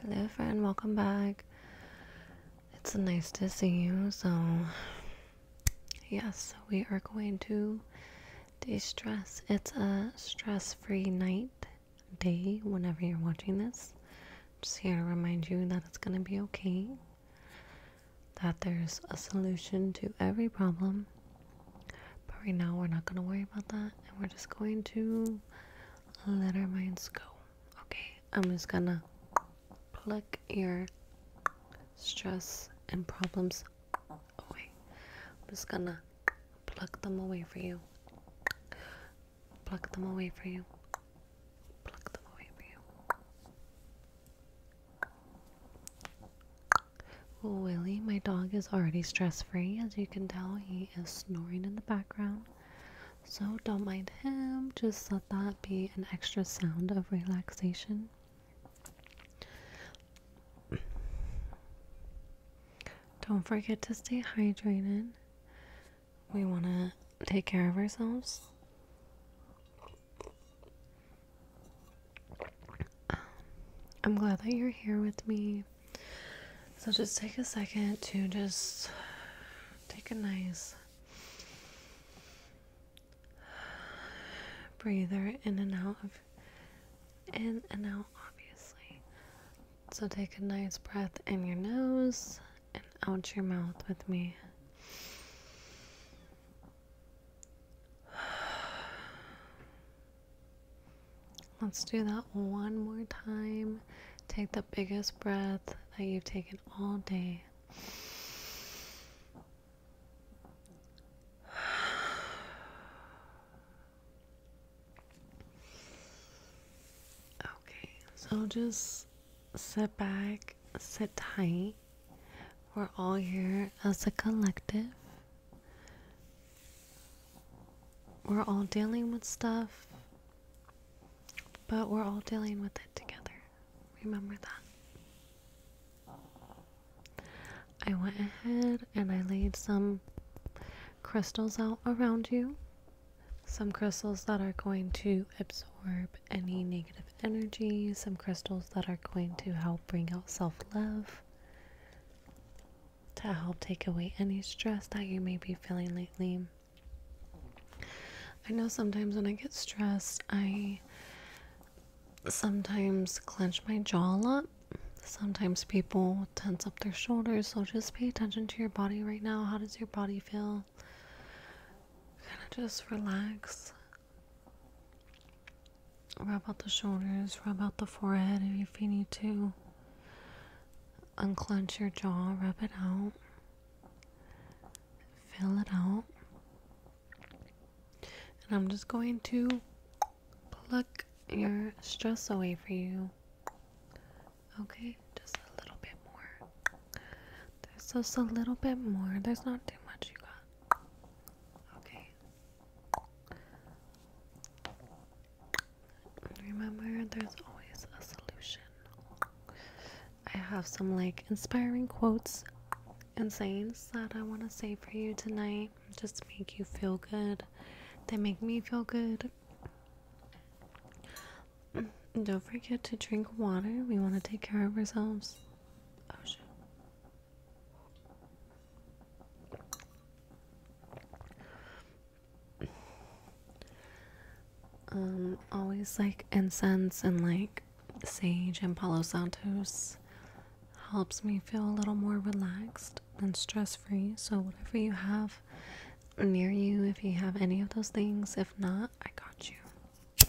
Hello, friend, welcome back. It's nice to see you. So, yes, we are going to de stress. It's a stress free night, day, whenever you're watching this. Just here to remind you that it's going to be okay, that there's a solution to every problem. But right now, we're not going to worry about that, and we're just going to let our minds go. Okay, I'm just gonna pluck your stress and problems away. I'm just gonna pluck them away for you. Pluck them away for you. Pluck them away for you. Willie, my dog is already stress free. As you can tell, he is snoring in the background. So don't mind him, just let that be an extra sound of relaxation. Don't forget to stay hydrated. We want to take care of ourselves. Um, I'm glad that you're here with me. So just take a second to just take a nice breather in and out of in and out obviously. So take a nice breath in your nose and out your mouth with me. Let's do that one more time. Take the biggest breath that you've taken all day. Okay, so just sit back, sit tight. We're all here as a collective. We're all dealing with stuff, but we're all dealing with it together. Remember that. I went ahead and I laid some crystals out around you. Some crystals that are going to absorb any negative energy, some crystals that are going to help bring out self love to help take away any stress that you may be feeling lately. I know sometimes when I get stressed, I sometimes clench my jaw a lot. Sometimes people tense up their shoulders, so just pay attention to your body right now. How does your body feel? Kind of just relax. Rub out the shoulders, rub out the forehead if you need to. Unclench your jaw, rub it out. Fill it out. And I'm just going to pluck your stress away for you. Okay, just a little bit more. There's just a little bit more. There's not too much you got. Okay, Remember, there's always a solution. I have some like inspiring quotes and sayings that I want to say for you tonight just to make you feel good. They make me feel good. Don't forget to drink water. We want to take care of ourselves. Oh shit. Um, always like incense and like sage and Palo Santos helps me feel a little more relaxed and stress free. So, whatever you have near you, if you have any of those things, if not, I got you.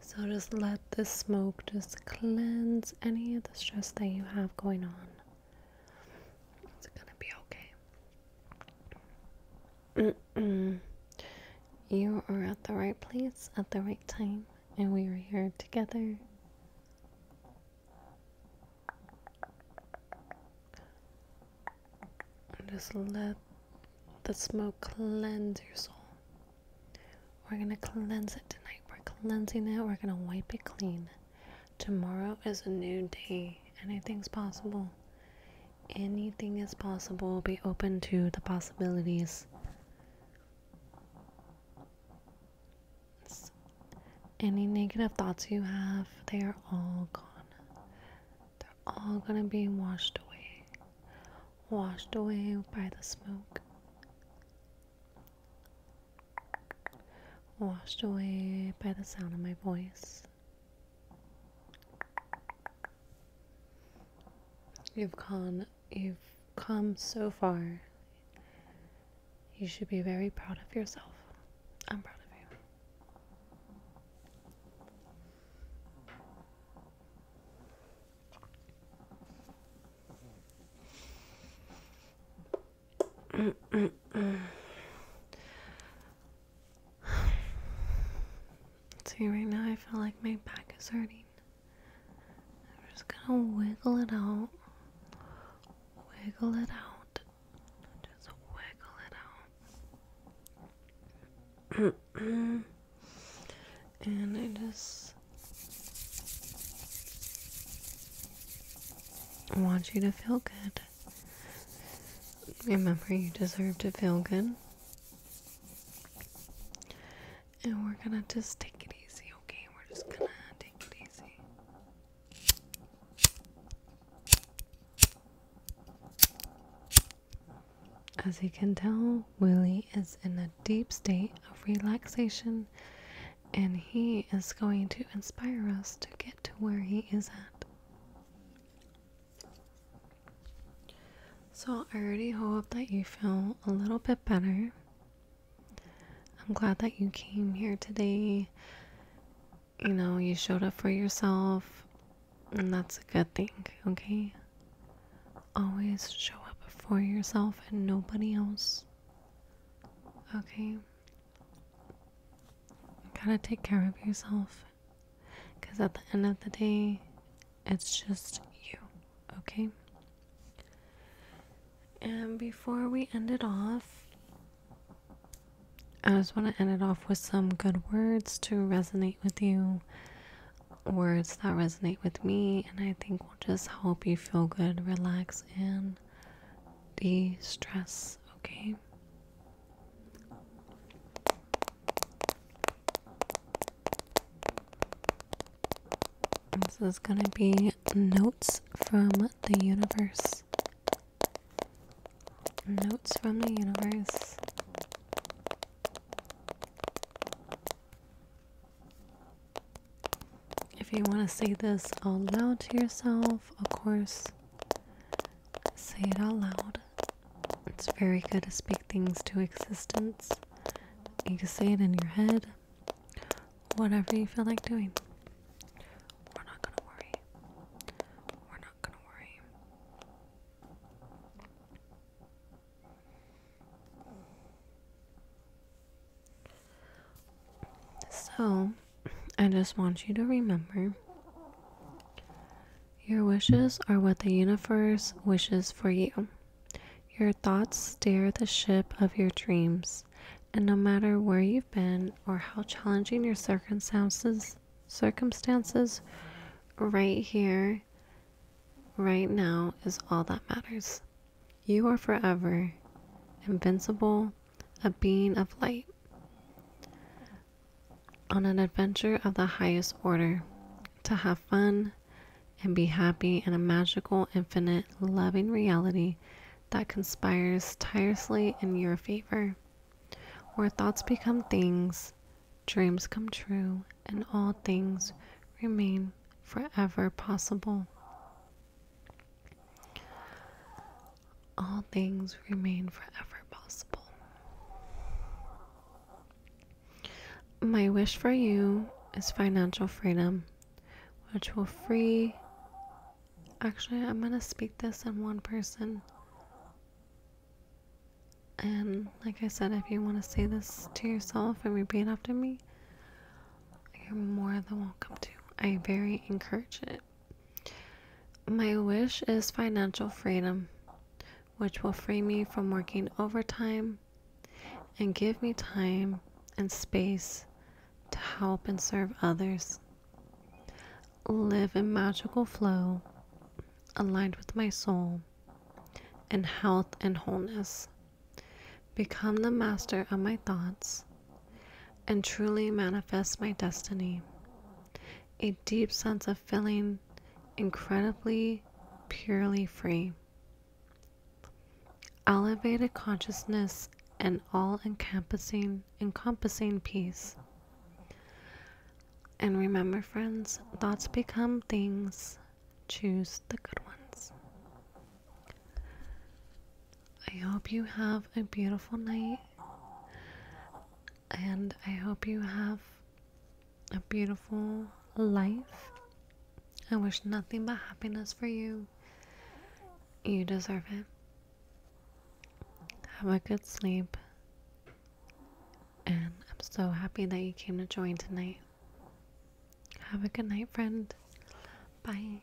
So just let this smoke just cleanse any of the stress that you have going on. It's gonna be okay. You are at the right place at the right time and we are here together. just let the smoke cleanse your soul. We're gonna cleanse it tonight. We're cleansing it. We're gonna wipe it clean. Tomorrow is a new day. Anything's possible. Anything is possible. Be open to the possibilities. Any negative thoughts you have, they are all gone. They're all going to be washed away. Washed away by the smoke. Washed away by the sound of my voice. You've gone, you've come so far. You should be very proud of yourself. I'm proud of you. See, right now I feel like my back is hurting. I'm just gonna wiggle it out. Wiggle it out. Just wiggle it out. and I just want you to feel good. Remember, you deserve to feel good and we're gonna just take it easy, okay? We're just gonna take it easy. As you can tell, Willie is in a deep state of relaxation and he is going to inspire us to get to where he is at. So, I already hope that you feel a little bit better. I'm glad that you came here today. You know, you showed up for yourself, and that's a good thing, okay? Always show up for yourself and nobody else, okay? You gotta take care of yourself. Because at the end of the day, it's just you, okay? And before we end it off, I just want to end it off with some good words to resonate with you, words that resonate with me, and I think will just help you feel good, relax, and de stress, okay? This is going to be Notes from the Universe. Notes from the Universe. If you want to say this out loud to yourself, of course, say it out loud. It's very good to speak things to existence. You can say it in your head. Whatever you feel like doing. We're not gonna worry. We're not gonna worry. So, I just want you to remember your wishes are what the universe wishes for you. Your thoughts steer the ship of your dreams, and no matter where you've been or how challenging your circumstances, circumstances right here, right now is all that matters. You are forever invincible, a being of light on an adventure of the highest order, to have fun and be happy in a magical, infinite, loving reality that conspires tirelessly in your favor, where thoughts become things, dreams come true, and all things remain forever possible all things remain forever possible. My wish for you is financial freedom, which will free. Actually, I'm going to speak this in one person. And like I said, if you want to say this to yourself and repeat after me, you're more than welcome to. I very encourage it. My wish is financial freedom, which will free me from working overtime and give me time and space to help and serve others. Live in magical flow, aligned with my soul, and health and wholeness. Become the master of my thoughts and truly manifest my destiny a deep sense of feeling incredibly purely free. Elevated consciousness and all encompassing encompassing peace. And remember friends, thoughts become things. Choose the good ones. I hope you have a beautiful night and I hope you have a beautiful life. I wish nothing but happiness for you. You deserve it. Have a good sleep. And I'm so happy that you came to join tonight. Have a good night, friend. Bye.